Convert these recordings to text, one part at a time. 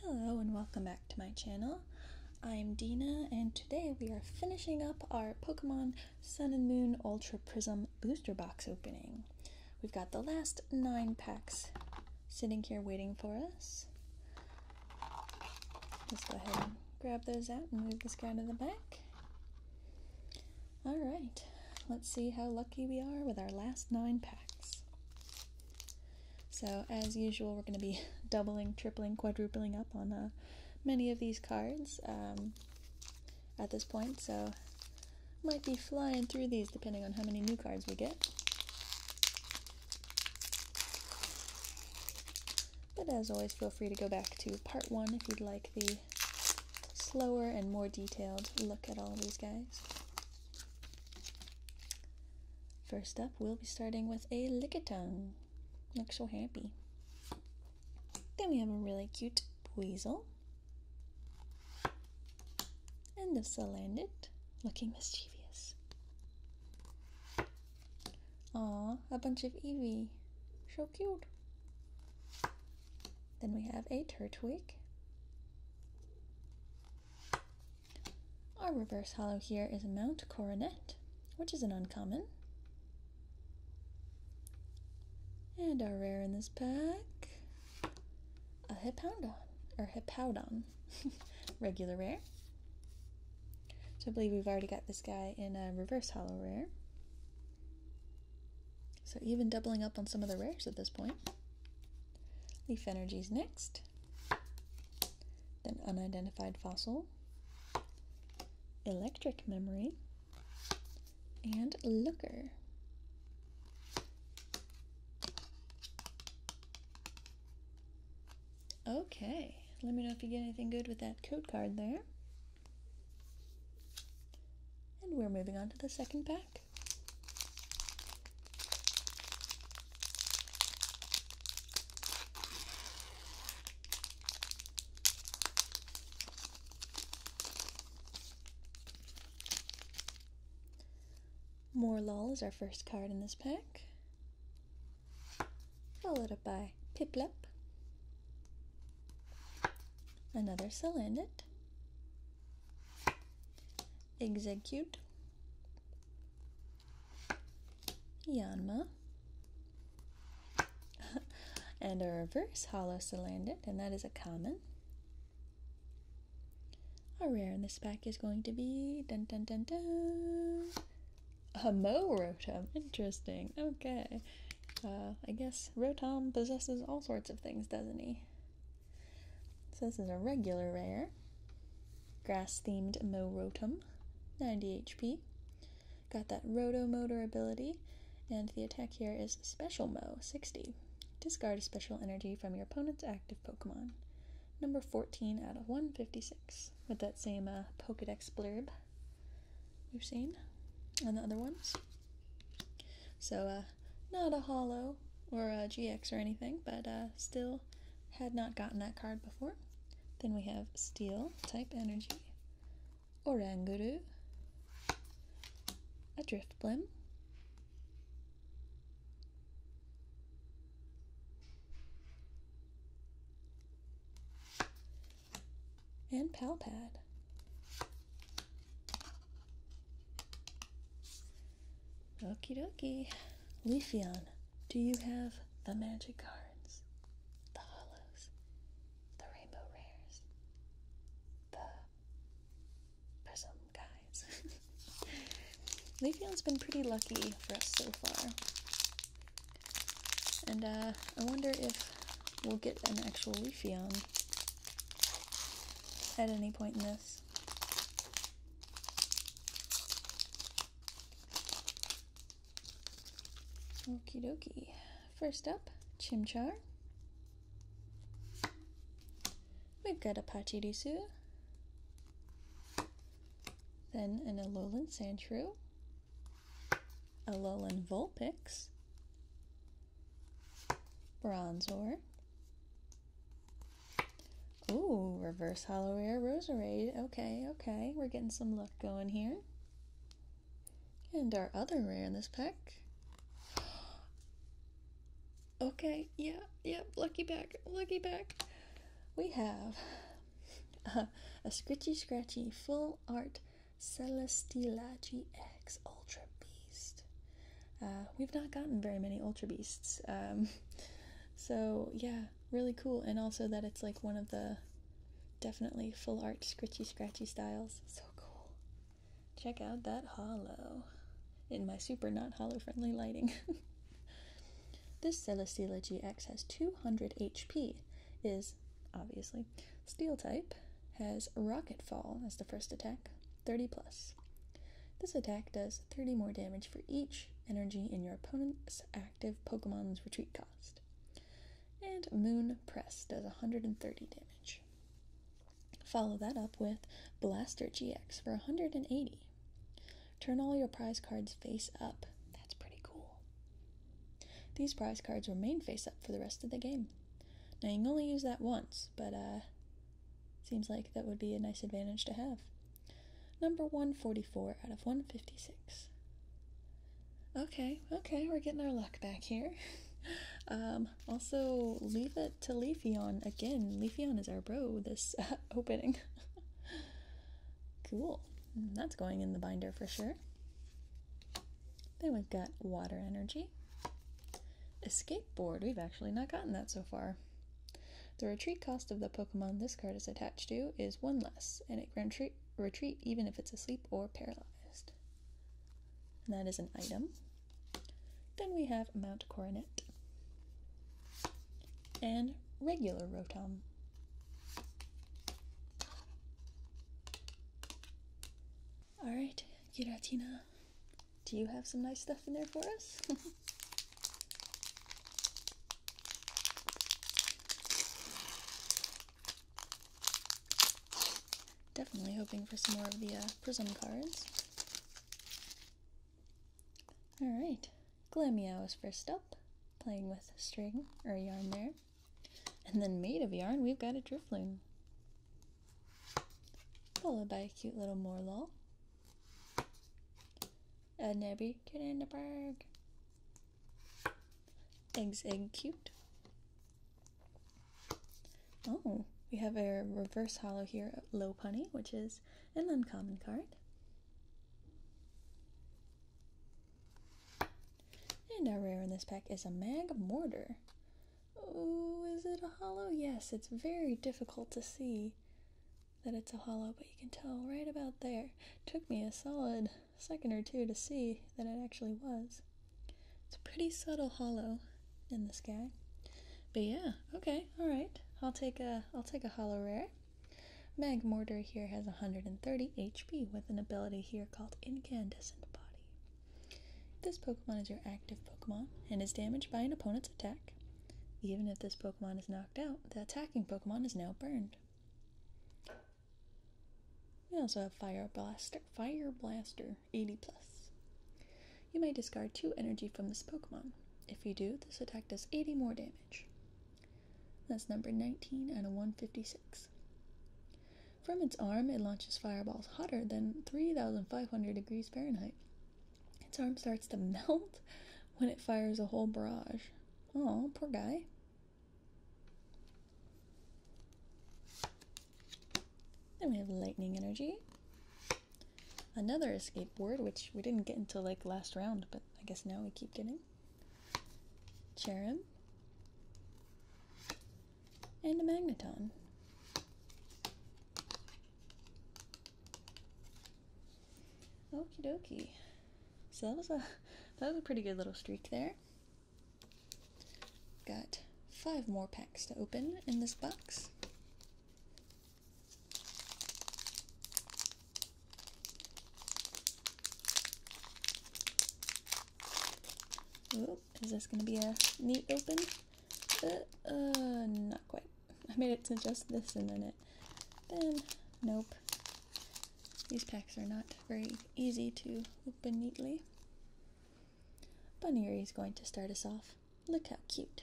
Hello and welcome back to my channel. I'm Dina and today we are finishing up our Pokemon Sun and Moon Ultra Prism booster box opening. We've got the last nine packs sitting here waiting for us. Let's go ahead and grab those out and move this guy to the back. Alright, let's see how lucky we are with our last nine packs. So, as usual, we're going to be doubling, tripling, quadrupling up on uh, many of these cards um, at this point, so might be flying through these depending on how many new cards we get. But as always, feel free to go back to part one if you'd like the slower and more detailed look at all these guys. First up, we'll be starting with a Lickitung. Looks so happy. Then we have a really cute Weasel. And a Salandit, looking mischievous. Aw, a bunch of Eevee. So cute. Then we have a Turtwig. Our reverse hollow here is Mount Coronet, which is an uncommon. And our rare in this pack, a Hippowdon, or Hippowdon, regular rare. So I believe we've already got this guy in a reverse hollow rare. So even doubling up on some of the rares at this point. Leaf Energy's next. Then unidentified fossil, electric memory, and looker. Okay, let me know if you get anything good with that code card there. And we're moving on to the second pack. More Lol is our first card in this pack, followed up by Piplep, another Salandit, execute Yanma and a reverse hollow Salandit, and that is a common. A rare in this pack is going to be dun dun dun dun Hamo Rotom. Interesting. Okay. Uh, I guess Rotom possesses all sorts of things, doesn't he? So this is a regular rare. Grass themed Rotom, 90 HP. Got that Roto Motor ability, and the attack here is Special Mo, 60. Discard a special energy from your opponent's active Pokemon. Number 14 out of 156, with that same uh, Pokedex blurb we've seen on the other ones. So uh, uh, not a hollow or a GX or anything, but uh, still had not gotten that card before. Then we have Steel type energy, Oranguru, a Driftblim, and Palpad. Okie dokie. Leafeon, do you have the magic cards? The hollows? The rainbow rares? The prism guys? Leafeon's been pretty lucky for us so far. And uh, I wonder if we'll get an actual Leafeon at any point in this. Okie dokie. First up, Chimchar. We've got a Pachirisu. Then an Alolan Sandshrew. Alolan Vulpix. Bronzor. Ooh, reverse hollow rare roserade. Okay, okay. We're getting some luck going here. And our other rare in this pack. Okay, yeah, yeah, lucky back, lucky back. We have uh, a Scritchy Scratchy Full Art Celestila X Ultra Beast. Uh, we've not gotten very many Ultra Beasts. Um, so, yeah, really cool. And also that it's like one of the definitely full art, scritchy, scratchy styles. So cool. Check out that hollow in my super not hollow friendly lighting. this Celestela GX has 200 HP, is obviously steel type, has Rocket Fall as the first attack, 30 plus. This attack does 30 more damage for each energy in your opponent's active Pokemon's retreat cost. And Moon Press does 130 damage. Follow that up with Blaster GX for 180. Turn all your prize cards face up. That's pretty cool. These prize cards remain face up for the rest of the game. Now you can only use that once, but uh, Seems like that would be a nice advantage to have. Number 144 out of 156. Okay, okay, we're getting our luck back here. Um, also, leave it to Leafy on again. Leafy on is our bro this opening. cool. That's going in the binder for sure. Then we've got water energy. Escape board. We've actually not gotten that so far. The retreat cost of the Pokemon this card is attached to is one less, and it can retreat, retreat even if it's asleep or paralyzed. And that is an item. Then we have Mount Coronet and regular Rotom. Alright, Giratina, do you have some nice stuff in there for us? Definitely hoping for some more of the uh, prism cards. Alright, Glameo is first up, playing with string or yarn there. And then made of yarn, we've got a Drifloon followed by a cute little Morlul, a Nebby Kinderberg, Eggs Egg Cute. Oh, we have a reverse hollow here, Low Punny, which is an uncommon card. And our rare in this pack is a Mag Mortar. Oh, is it a hollow? Yes, it's very difficult to see that it's a hollow, but you can tell right about there. took me a solid second or two to see that it actually was. It's a pretty subtle hollow in the sky. But yeah, okay, alright. I'll take a I'll take a hollow rare. Mag here has 130 HP with an ability here called Incandescent Body. This Pokemon is your active Pokemon and is damaged by an opponent's attack. Even if this Pokemon is knocked out, the attacking Pokemon is now burned. We also have Fire Blaster, Fire Blaster 80 plus. You may discard 2 energy from this Pokemon. If you do, this attack does 80 more damage. That's number 19 out of 156. From its arm, it launches fireballs hotter than 3,500 degrees Fahrenheit. Its arm starts to melt when it fires a whole barrage. Oh, poor guy. Then we have lightning energy. Another escape word, which we didn't get until like last round, but I guess now we keep getting. Charon and a magneton. Okey dokie. So that was a that was a pretty good little streak there. Got five more packs to open in this box. is this gonna be a neat open? Uh, uh, not quite. I made it to just this and then it. Then, nope. These packs are not very easy to open neatly. Bunny is going to start us off. Look how cute.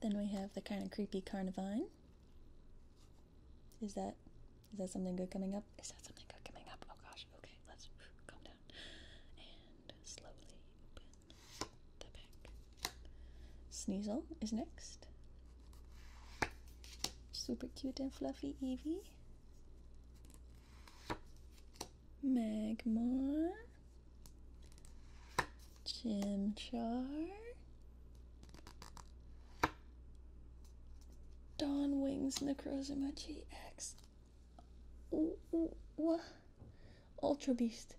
Then we have the kind of creepy Carnivine. Is that is that something good coming up? Is that something good coming up? Oh gosh. Okay, let's calm down and slowly open the back. Sneasel is next. Super cute and fluffy Evie. Magmar. Chimchar. Dawn Wings Necrozimachi G X. Ultra Beast,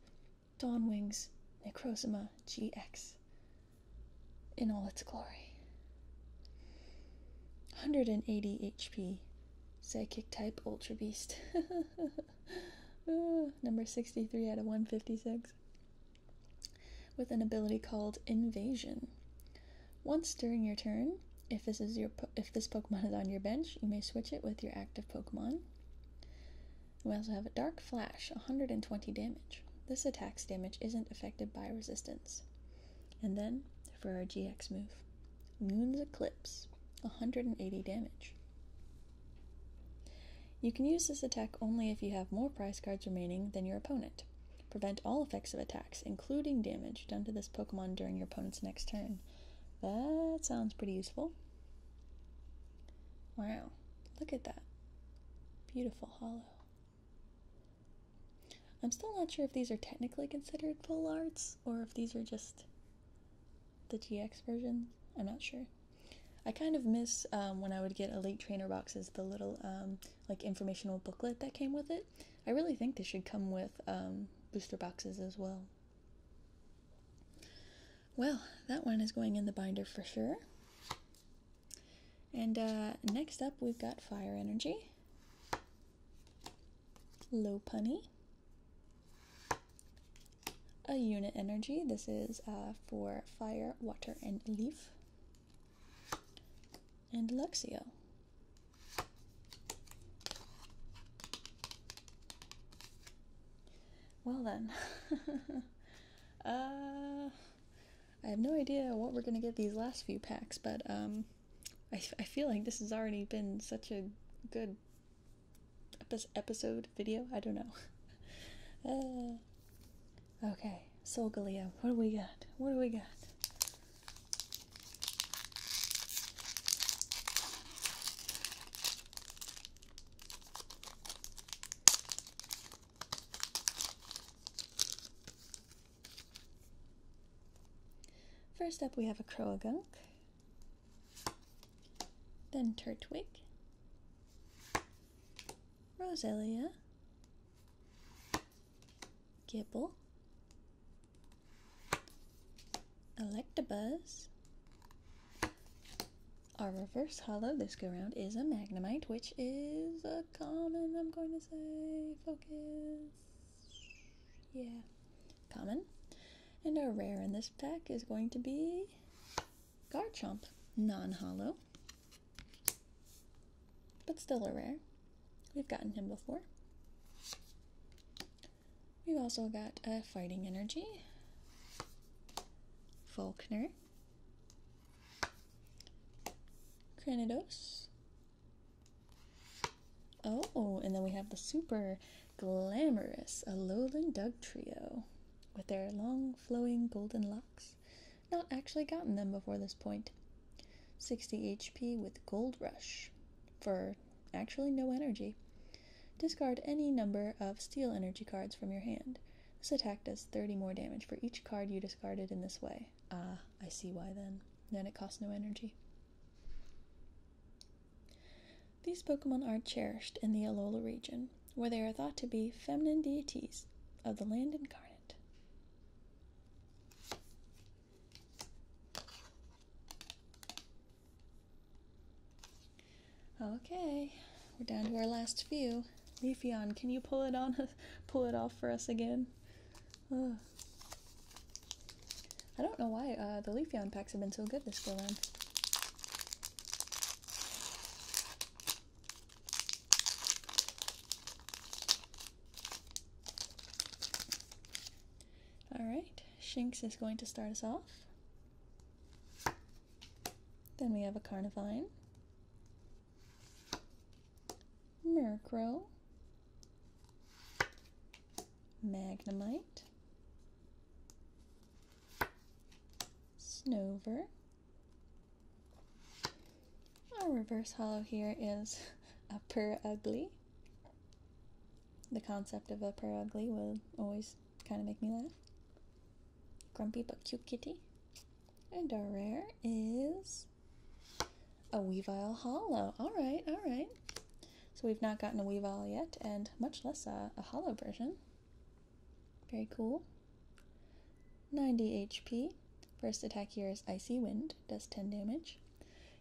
Dawn Wings, Necrosima GX in all its glory. 180 HP, Psychic type Ultra Beast. number 63 out of 156. With an ability called Invasion. Once during your turn, if this is your if this Pokemon is on your bench, you may switch it with your active Pokemon. We also have a Dark Flash, 120 damage. This attack's damage isn't affected by resistance. And then for our GX move, Moon's Eclipse, 180 damage. You can use this attack only if you have more prize cards remaining than your opponent. Prevent all effects of attacks, including damage done to this Pokemon during your opponent's next turn. That sounds pretty useful. Wow, look at that. Beautiful hollow. I'm still not sure if these are technically considered full arts or if these are just the GX versions. I'm not sure. I kind of miss um, when I would get a late Trainer boxes, the little um, like informational booklet that came with it. I really think they should come with um, booster boxes as well. Well, that one is going in the binder for sure. And uh, next up, we've got Fire Energy, Low Punny, a Unit Energy. This is uh, for Fire, Water, and Leaf and Luxio. Well then, uh, I have no idea what we're gonna get these last few packs, but um, I, feel like this has already been such a good episode video. I don't know. uh, okay, Solgaleo, what do we got? What do we got? First up we have a Croagunk, then Turtwig, Roselia, Gibble, Electabuzz, our reverse hollow this go round is a Magnemite, which is a common, I'm going to say. Focus. Yeah. Common. And our rare in this pack is going to be Garchomp, non hollow but still a rare. We've gotten him before. We've also got a Fighting Energy, Volkner, Kranidos. Oh, and then we have the super glamorous Alolan Dug Trio with their long flowing golden locks not actually gotten them before this point. 60 HP with Gold Rush for actually no energy. Discard any number of steel energy cards from your hand. This attack does 30 more damage for each card you discarded in this way. Ah, I see why then. Then it costs no energy. These Pokemon are cherished in the Alola region, where they are thought to be feminine deities of the land incarnate. Okay, we're down to our last few. Leafeon, can you pull it on pull it off for us again? I don't know why uh, the Leafeon packs have been so good this go round. All right, Shinx is going to start us off. Then we have a Carnivine, Murkrow, Magnemite, Snover, our reverse hollow here is a upper ugly. The concept of a upper ugly will always kind of make me laugh. Grumpy but cute kitty. And our rare is a Weevil Hollow. Alright, alright. So we've not gotten a Weevil yet, and much less a Hollow version. Very cool. 90 HP. First attack here is Icy Wind, does 10 damage.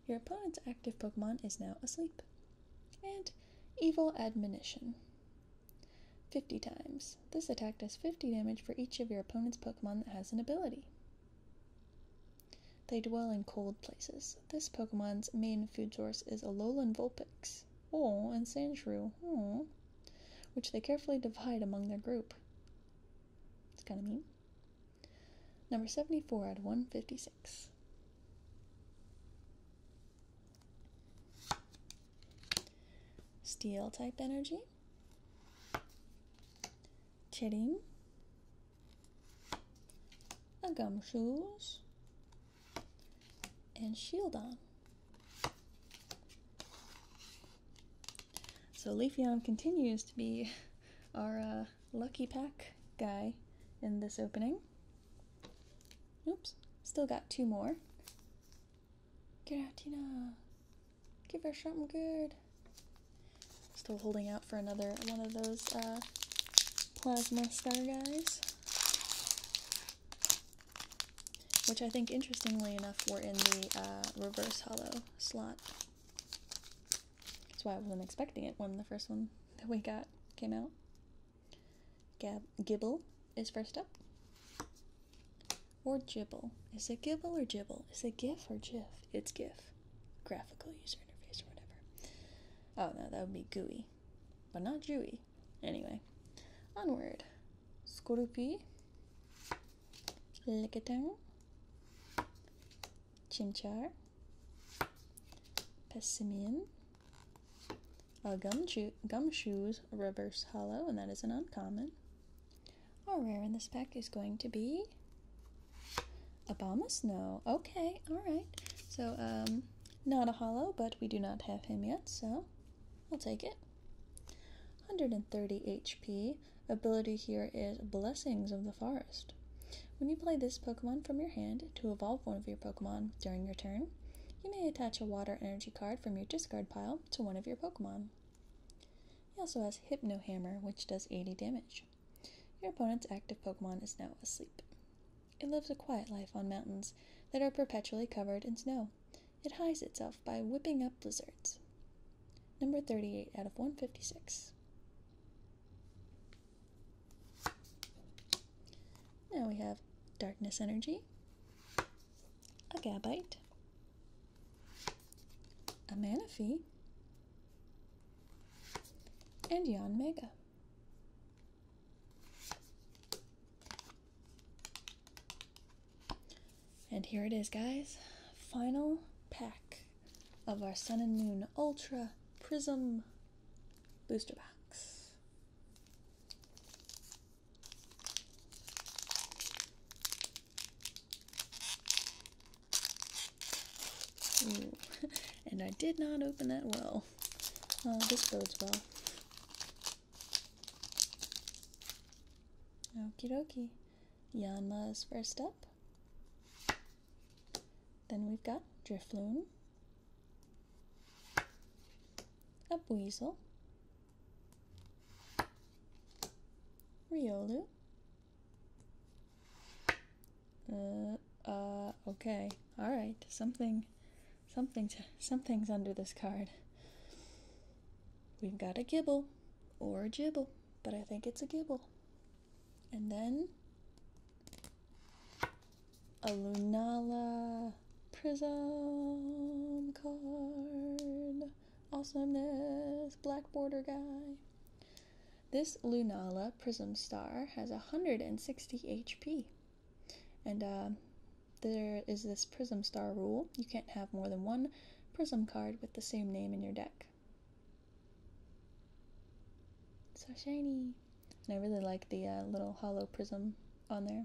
Your opponent's active Pokemon is now asleep. And Evil Admonition. 50 times. This attack does 50 damage for each of your opponent's Pokemon that has an ability. They dwell in cold places. This Pokemon's main food source is Alolan Vulpix. Oh, and Sandshrew. Oh. Which they carefully divide among their group. It's kind of mean. Number 74 out of 156. Steel type energy. chitin, A shoes, And shield on. So Leafeon continues to be our uh, lucky pack guy in this opening. Oops, still got two more. Get out, Tina. Give her something good. Still holding out for another one of those uh, plasma star guys. Which I think, interestingly enough, were in the uh, reverse hollow slot. That's why I wasn't expecting it when the first one that we got came out. Gibble is first up. Or Gibble. Is it Gibble or Gibble? Is it GIF or GIF? It's GIF. Graphical user interface or whatever. Oh no, that would be GUI. But not GUI. Anyway, onward scorpii, leketang, chimchar, persimmon, uh, gum shoes, reverse hollow, and that is isn't uncommon. Our rare in this pack is going to be Obama Snow. Okay, all right. So, um, not a hollow, but we do not have him yet, so I'll take it. 130 HP ability here is Blessings of the Forest. When you play this Pokemon from your hand to evolve one of your Pokemon during your turn, you may attach a water energy card from your discard pile to one of your Pokemon. He also has Hypno Hammer, which does 80 damage. Your opponent's active Pokemon is now asleep. It lives a quiet life on mountains that are perpetually covered in snow it hides itself by whipping up blizzards. Number 38 out of 156. Now we have darkness energy, a gabite, a manaphy, and Yon Mega. And here it is, guys. Final pack of our Sun and Moon Ultra Prism booster box. and I did not open that well. Oh, this goes well. Okie dokie. Yanma is first up. Then we've got Drifloon, Upweasel, Riolu. Uh, uh, okay. All right. Something, something, something's under this card. We've got a Gibble, or a gibble, but I think it's a gibble. And then a Lunala Prism card. Awesomeness, black border guy. This Lunala Prism Star has 160 HP. And there is this prism star rule. You can't have more than one prism card with the same name in your deck. So shiny. And I really like the uh, little hollow prism on there.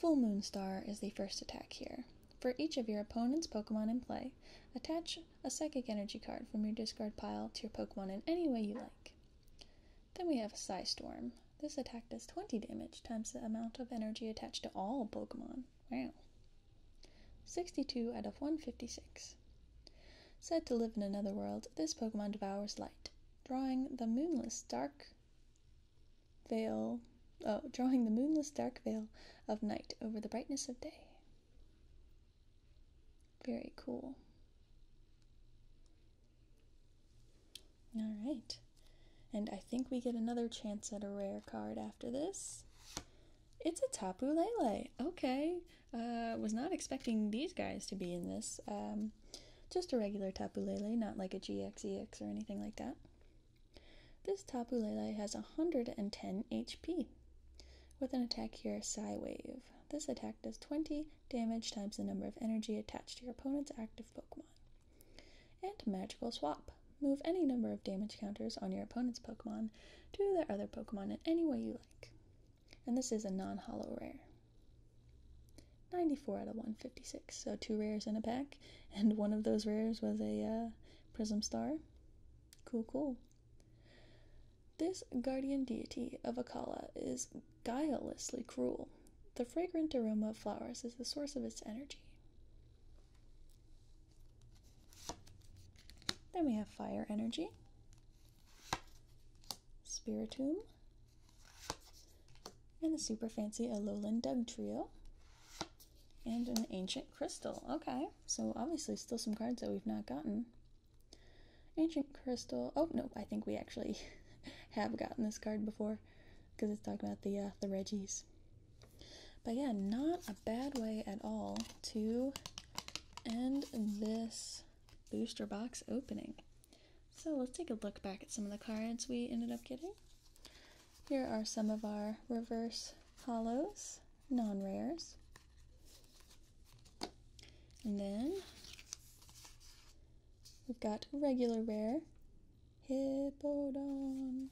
Full Moon Star is the first attack here. For each of your opponent's Pokemon in play, attach a psychic energy card from your discard pile to your Pokemon in any way you like. Then we have Psystorm. This attack does 20 damage times the amount of energy attached to all Pokemon. Wow. 62 out of 156. Said to live in another world, this Pokemon devours light, drawing the moonless dark veil, oh, drawing the moonless dark veil of night over the brightness of day. Very cool. All right. And I think we get another chance at a rare card after this. It's a Tapu Lele. Okay. Uh, was not expecting these guys to be in this. Um, just a regular Tapu Lele, not like a GXEX or anything like that. This Tapu Lele has 110 HP with an attack here, Psy Wave. This attack does 20 damage times the number of energy attached to your opponent's active Pokemon. And Magical Swap. Move any number of damage counters on your opponent's Pokemon to their other Pokemon in any way you like. And this is a non hollow rare. 94 out of 156, so two rares in a pack, and one of those rares was a uh, Prism Star. Cool, cool. This guardian deity of Akala is guilelessly cruel. The fragrant aroma of flowers is the source of its energy. Then we have fire energy, spiritum, and the super fancy a lowland dug trio, and an ancient crystal. Okay, so obviously, still some cards that we've not gotten. Ancient crystal. Oh no, I think we actually have gotten this card before because it's talking about the uh, the Reggies. But yeah, not a bad way at all to end this booster box opening. So let's take a look back at some of the cards we ended up getting. Here are some of our reverse hollows, non-rares. And then We've got regular rare Hippodon.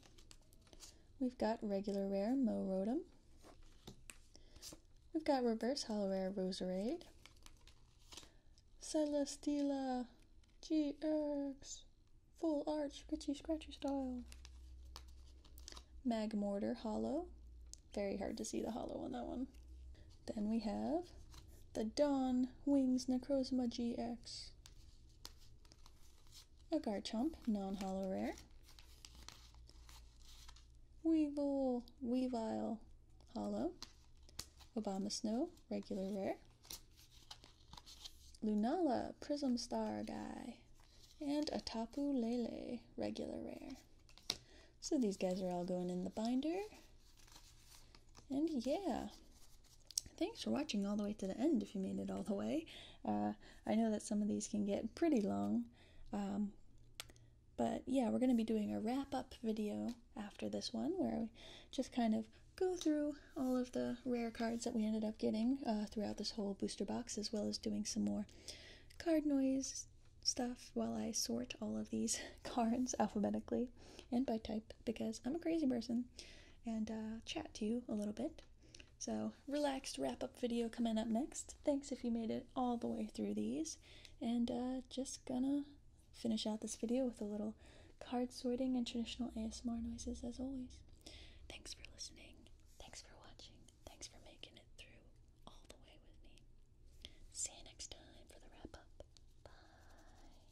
We've got regular rare Morotum. We've got reverse hollow rare Roserade. Celestela GX. Full arch, scritchy scratchy style. Magmortar hollow. Very hard to see the hollow on that one. Then we have the Dawn Wings Necrozma GX. A Garchomp, non-hollow rare. Weevil, Weavile, hollow. Obama Snow, regular rare. Lunala, Prism Star guy. And a Tapu Lele, regular rare. So these guys are all going in the binder. And yeah, thanks for watching all the way to the end if you made it all the way. Uh, I know that some of these can get pretty long. Um, but yeah, we're going to be doing a wrap up video after this one where we just kind of go through all of the rare cards that we ended up getting uh, throughout this whole booster box, as well as doing some more card noise stuff while I sort all of these cards alphabetically and by type because I'm a crazy person and uh, chat to you a little bit. So, relaxed wrap up video coming up next. Thanks if you made it all the way through these. And uh, just gonna finish out this video with a little card sorting and traditional ASMR noises as always. Thanks for listening. Thanks for watching. Thanks for making it through all the way with me. See you next time for the wrap up. Bye.